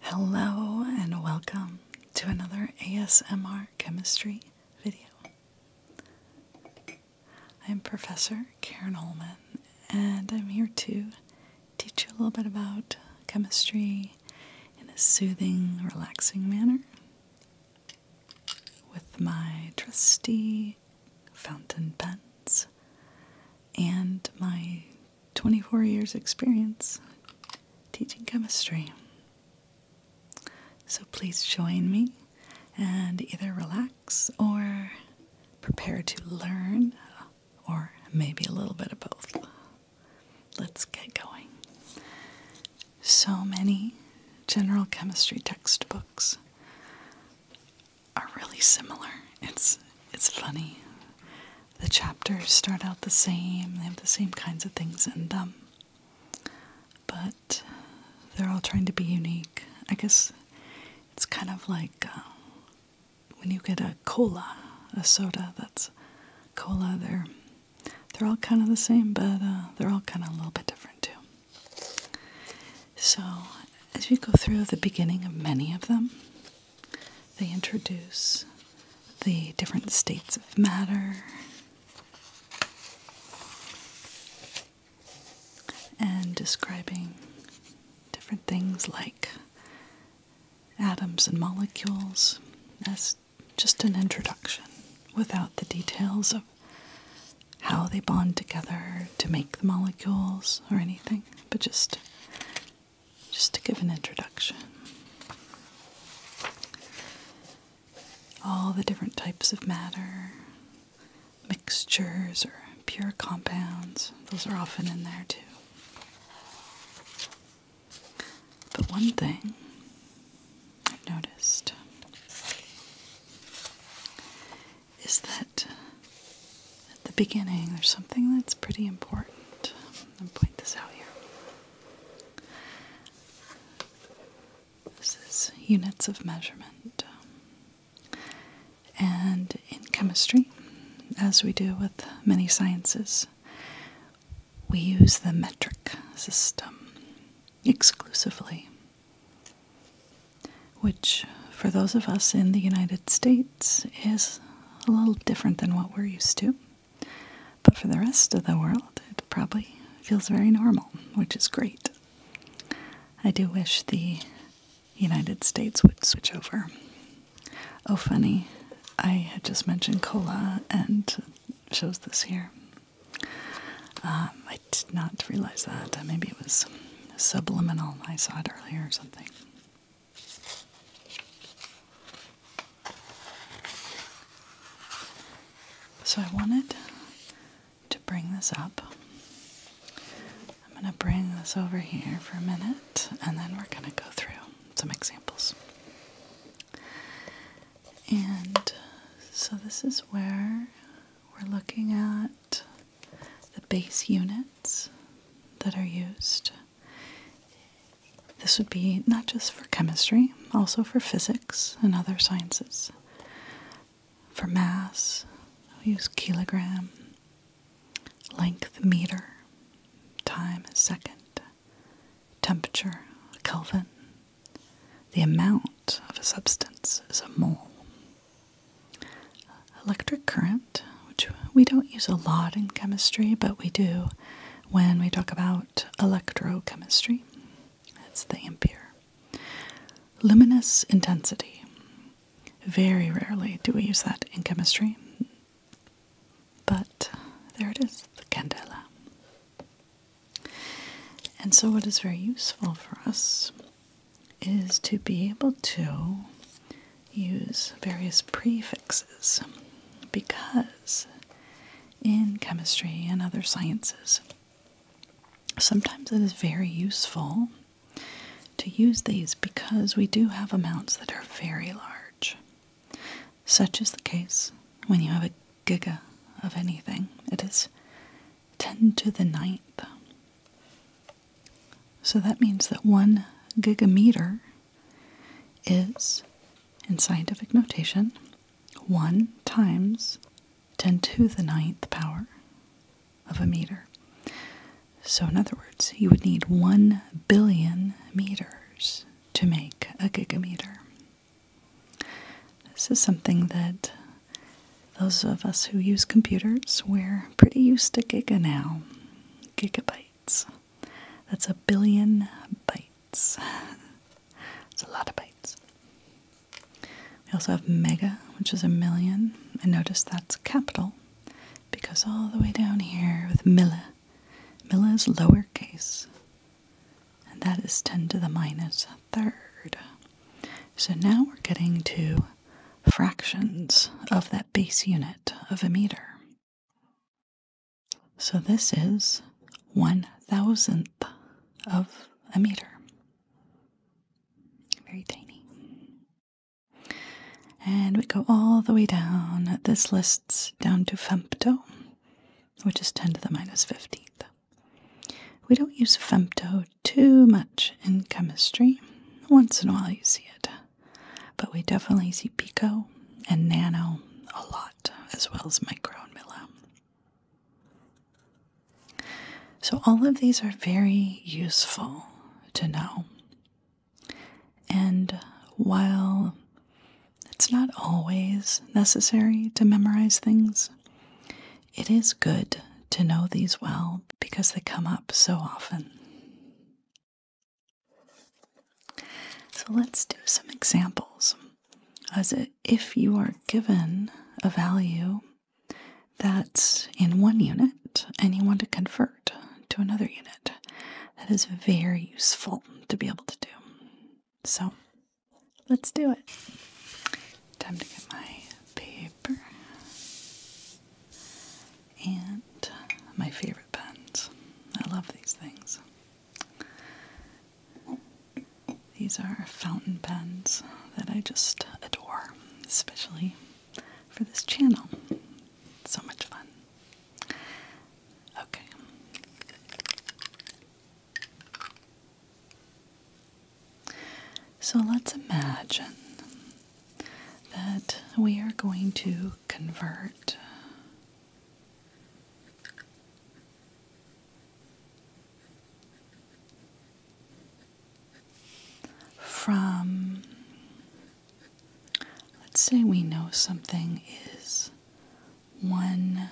Hello and welcome to another ASMR chemistry video. I'm Professor Karen Holman and I'm here to teach you a little bit about chemistry in a soothing, relaxing manner with my trusty fountain pens and my 24 years experience teaching chemistry. So please join me and either relax or prepare to learn or maybe a little bit of both. Let's get going. So many general chemistry textbooks are really similar. It's it's funny. The chapters start out the same. They have the same kinds of things in them. But they're all trying to be unique. I guess it's kind of like uh, when you get a cola, a soda that's cola. They're they're all kind of the same, but uh, they're all kind of a little bit different too. So as you go through the beginning of many of them, they introduce the different states of matter and describing different things like atoms and molecules as just an introduction without the details of how they bond together to make the molecules or anything, but just just to give an introduction. All the different types of matter, mixtures, or pure compounds, those are often in there too. But one thing I've noticed is that at the beginning there's something that's pretty important. I'm going to point this out here. This is units of measurement. And in chemistry, as we do with many sciences, we use the metric system exclusively which for those of us in the United States is a little different than what we're used to. But for the rest of the world, it probably feels very normal, which is great. I do wish the United States would switch over. Oh, funny, I had just mentioned cola and shows this here. Um, I did not realize that. Maybe it was subliminal. I saw it earlier or something. So I wanted to bring this up. I'm going to bring this over here for a minute and then we're going to go through some examples. And so this is where we're looking at the base units that are used. This would be not just for chemistry, also for physics and other sciences. For mass, we use kilogram, length, meter, time, second, temperature, Kelvin. The amount of a substance is a mole. Electric current, which we don't use a lot in chemistry, but we do when we talk about electrochemistry. It's the ampere. Luminous intensity. Very rarely do we use that in chemistry, but there it is, the candela. And so, what is very useful for us is to be able to use various prefixes because in chemistry and other sciences, sometimes it is very useful to use these because we do have amounts that are very large. Such is the case when you have a giga of anything. It is 10 to the ninth. So that means that one gigameter is, in scientific notation, 1 times 10 to the ninth power of a meter. So, in other words, you would need 1 billion meters to make a gigameter. This is something that those of us who use computers, we're pretty used to giga now. Gigabytes. That's a billion bytes. It's a lot of bytes. We also have mega, which is a million. And notice that's capital because all the way down here with milla, milla is lowercase. And that is 10 to the minus third. So now we're getting to fractions of that base unit of a meter. So this is one thousandth of a meter. Very tiny. And we go all the way down. This lists down to fempto, which is 10 to the minus 15th. We don't use femto too much in chemistry. Once in a while you see it. But we definitely see pico and nano a lot, as well as micro and milli. So, all of these are very useful to know. And while it's not always necessary to memorize things, it is good to know these well because they come up so often. So let's do some examples. As if you are given a value that's in one unit and you want to convert to another unit, that is very useful to be able to do. So Let's do it. Time to get my paper and my favorite pens. I love these things. These are fountain pens that I just adore, especially for this channel. so much fun. Okay. So let's imagine that we are going to convert from, let's say we know something is one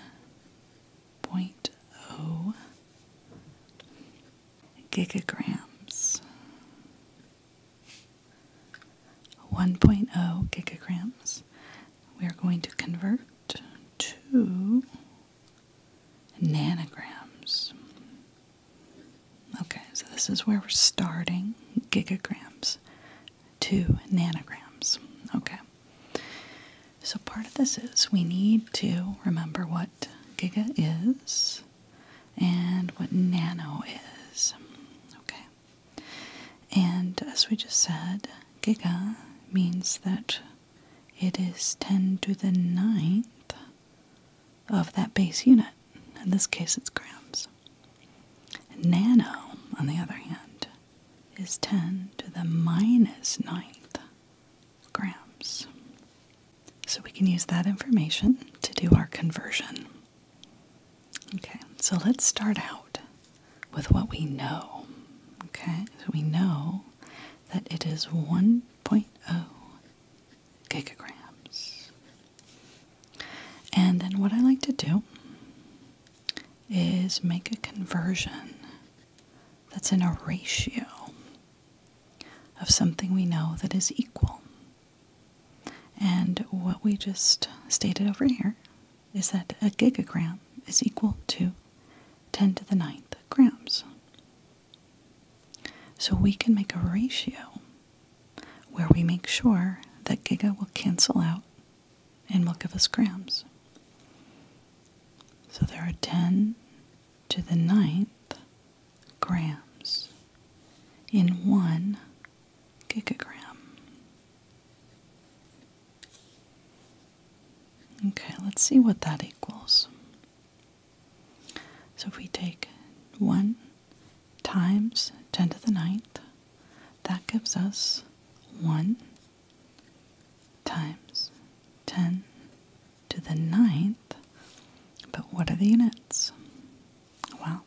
0.0 gigagrams. 1.0 gigagrams. We are going to convert to nanograms. Okay, so this is where we're starting gigagrams to nanograms. Okay. So, part of this is we need to remember what giga is and what nano is. Okay. And as we just said, giga means that it is 10 to the ninth of that base unit. In this case, it's grams. Nano, on the other hand, is 10 to the minus ninth grams. So we can use that information to do our conversion. Okay, so let's start out with what we know. Okay, so we know that it is 1.0 gigagrams. And then what I like to do is make a conversion that's in a ratio of something we know that is equal. And what we just stated over here is that a gigagram is equal to 10 to the ninth grams. So we can make a ratio where we make sure that giga will cancel out and will give us grams. So there are 10 to the ninth grams in one gigagram. Okay, let's see what that equals. So if we take 1 times 10 to the ninth, that gives us 1 times 10 to the ninth. But what are the units? Well,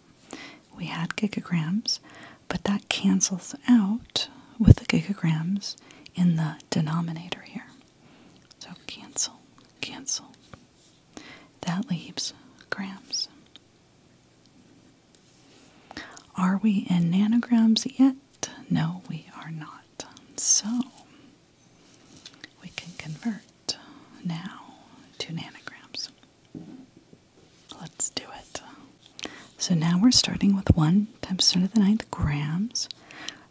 we had gigagrams, but that cancels out with the gigagrams in the denominator here. So cancel, cancel. That leaves grams. Are we in nanograms yet? No, we are not. So we can convert now to nanograms. Let's do it. So now we're starting with 1 times 10 to the ninth grams.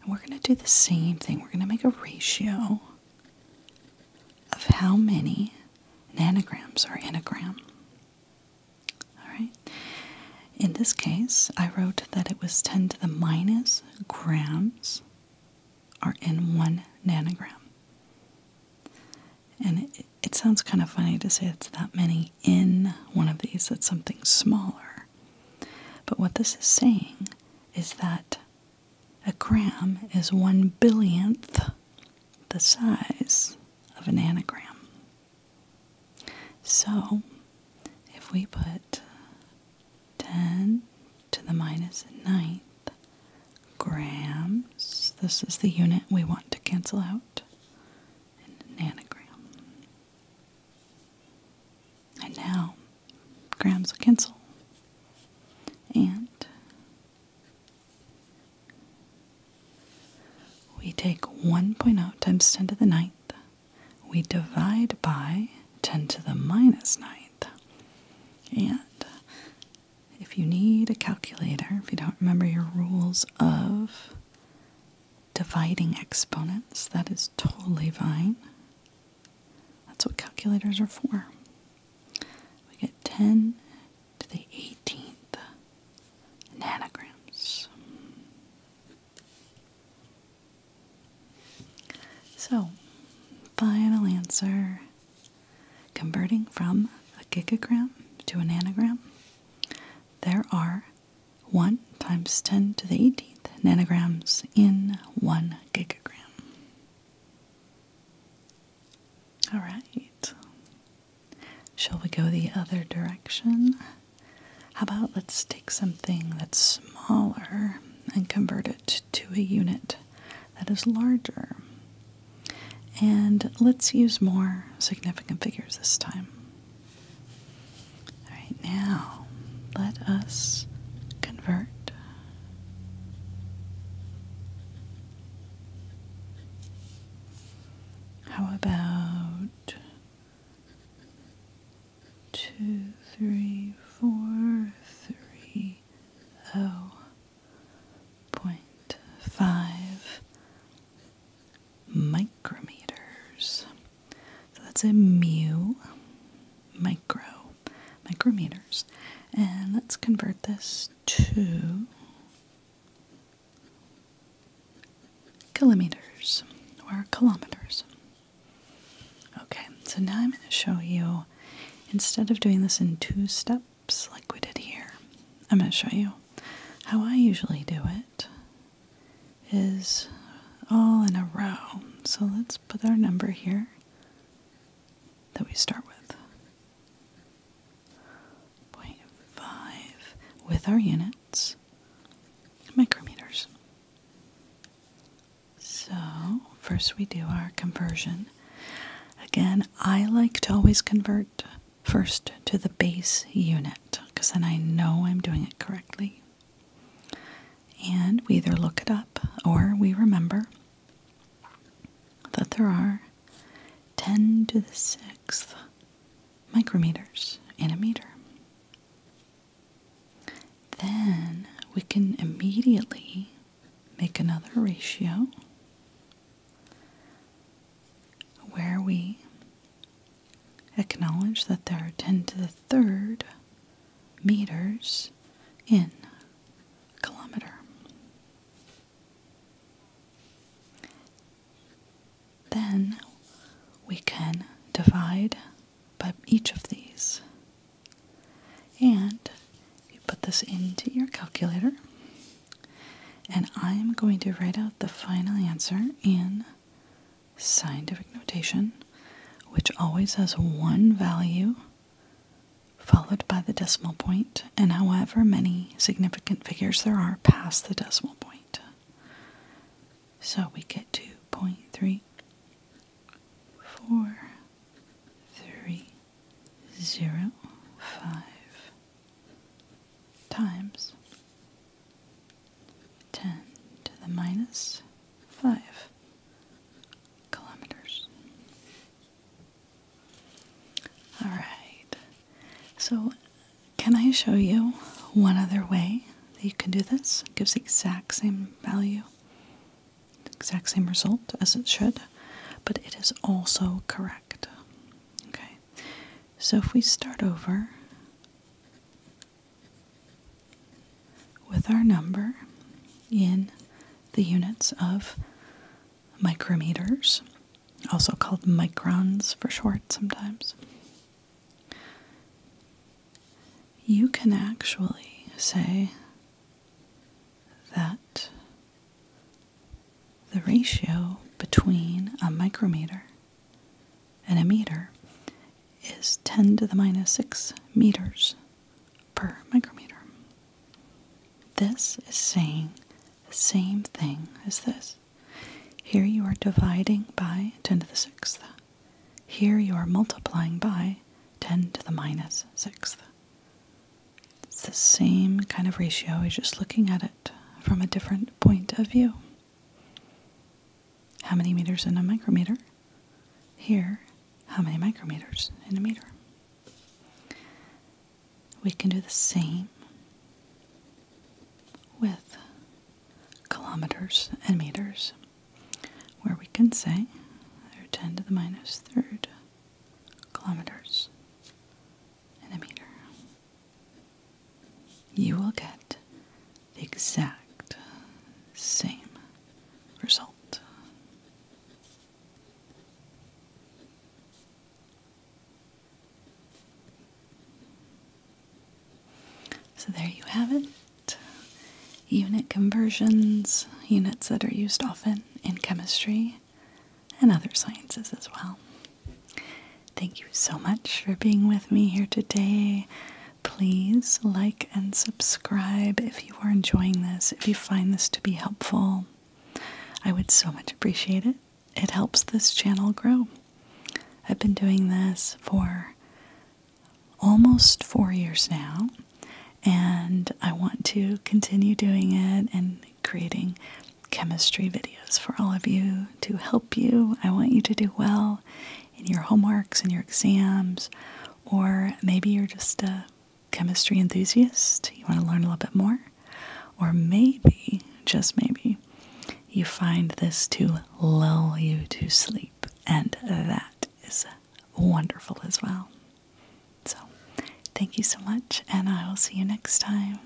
And we're going to do the same thing. We're going to make a ratio of how many nanograms are in a gram. All right. In this case, I wrote that it was 10 to the minus grams are in one nanogram. And it, sounds kind of funny to say it's that many in one of these, It's something smaller. But what this is saying is that a gram is one billionth the size of a nanogram. So, if we put 10 to the minus ninth grams, this is the unit we want to cancel out, nanogram. And now, grams will cancel. And we take 1.0 times 10 to the ninth. We divide by 10 to the minus ninth. And if you need a calculator, if you don't remember your rules of dividing exponents, that is totally fine. That's what calculators are for. We get 10 to the 18th and So, final answer converting from a gigagram to a nanogram, there are 1 times 10 to the 18th nanograms in 1 gigagram. All right. Shall we go the other direction? How about let's take something that's smaller and convert it to a unit that is larger? And let's use more significant figures this time. All right, now let us convert. How about two, three, four, three, oh, point five micrometers? So that's a mu micro micrometers. And let's convert this to kilometers or kilometers. Okay, so now I'm going to show you, instead of doing this in two steps like we did here, I'm going to show you how I usually do it is all in a row. So let's put our number here that we start with. 0.5 with our units, micrometers. So, first we do our conversion. Again, I like to always convert first to the base unit because then I know I'm doing it correctly. And we either look it up or we remember that there are 10 to the 6th micrometers in a meter. Then we can immediately make another ratio where we acknowledge that there are 10 to the third meters in a kilometer. Then we can divide by each of these. And you put this into your calculator. And I'm going to write out the final answer in scientific notation, which always has one value followed by the decimal point and however many significant figures there are past the decimal point. So we get to point three four three zero five times ten to the minus five kilometers. All right. So, can I show you one other way that you can do this? gives exact same value, exact same result as it should, but it is also correct. Okay. So, if we start over with our number in the units of micrometers, also called microns for short sometimes, you can actually say that the ratio between a micrometer and a meter is 10 to the minus 6 meters per micrometer. This is saying the same thing as this. Here you are dividing by 10 to the sixth. Here you are multiplying by 10 to the minus sixth. It's the same kind of ratio, you're just looking at it from a different point of view. How many meters in a micrometer? Here, how many micrometers in a meter? we can do the same with kilometers and meters, where we can say they're 10 to the minus third kilometers in a meter. You will get the exact same result. So there you have it. Unit conversions, units that are used often in chemistry and other sciences as well. Thank you so much for being with me here today. Please like and subscribe if you are enjoying this, if you find this to be helpful. I would so much appreciate it. It helps this channel grow. I've been doing this for almost four years now, and I want to continue doing it and creating chemistry videos for all of you to help you. I want you to do well in your homeworks and your exams, or maybe you're just a chemistry enthusiast, you want to learn a little bit more, or maybe, just maybe, you find this to lull you to sleep, and that is wonderful as well. So, thank you so much, and I will see you next time.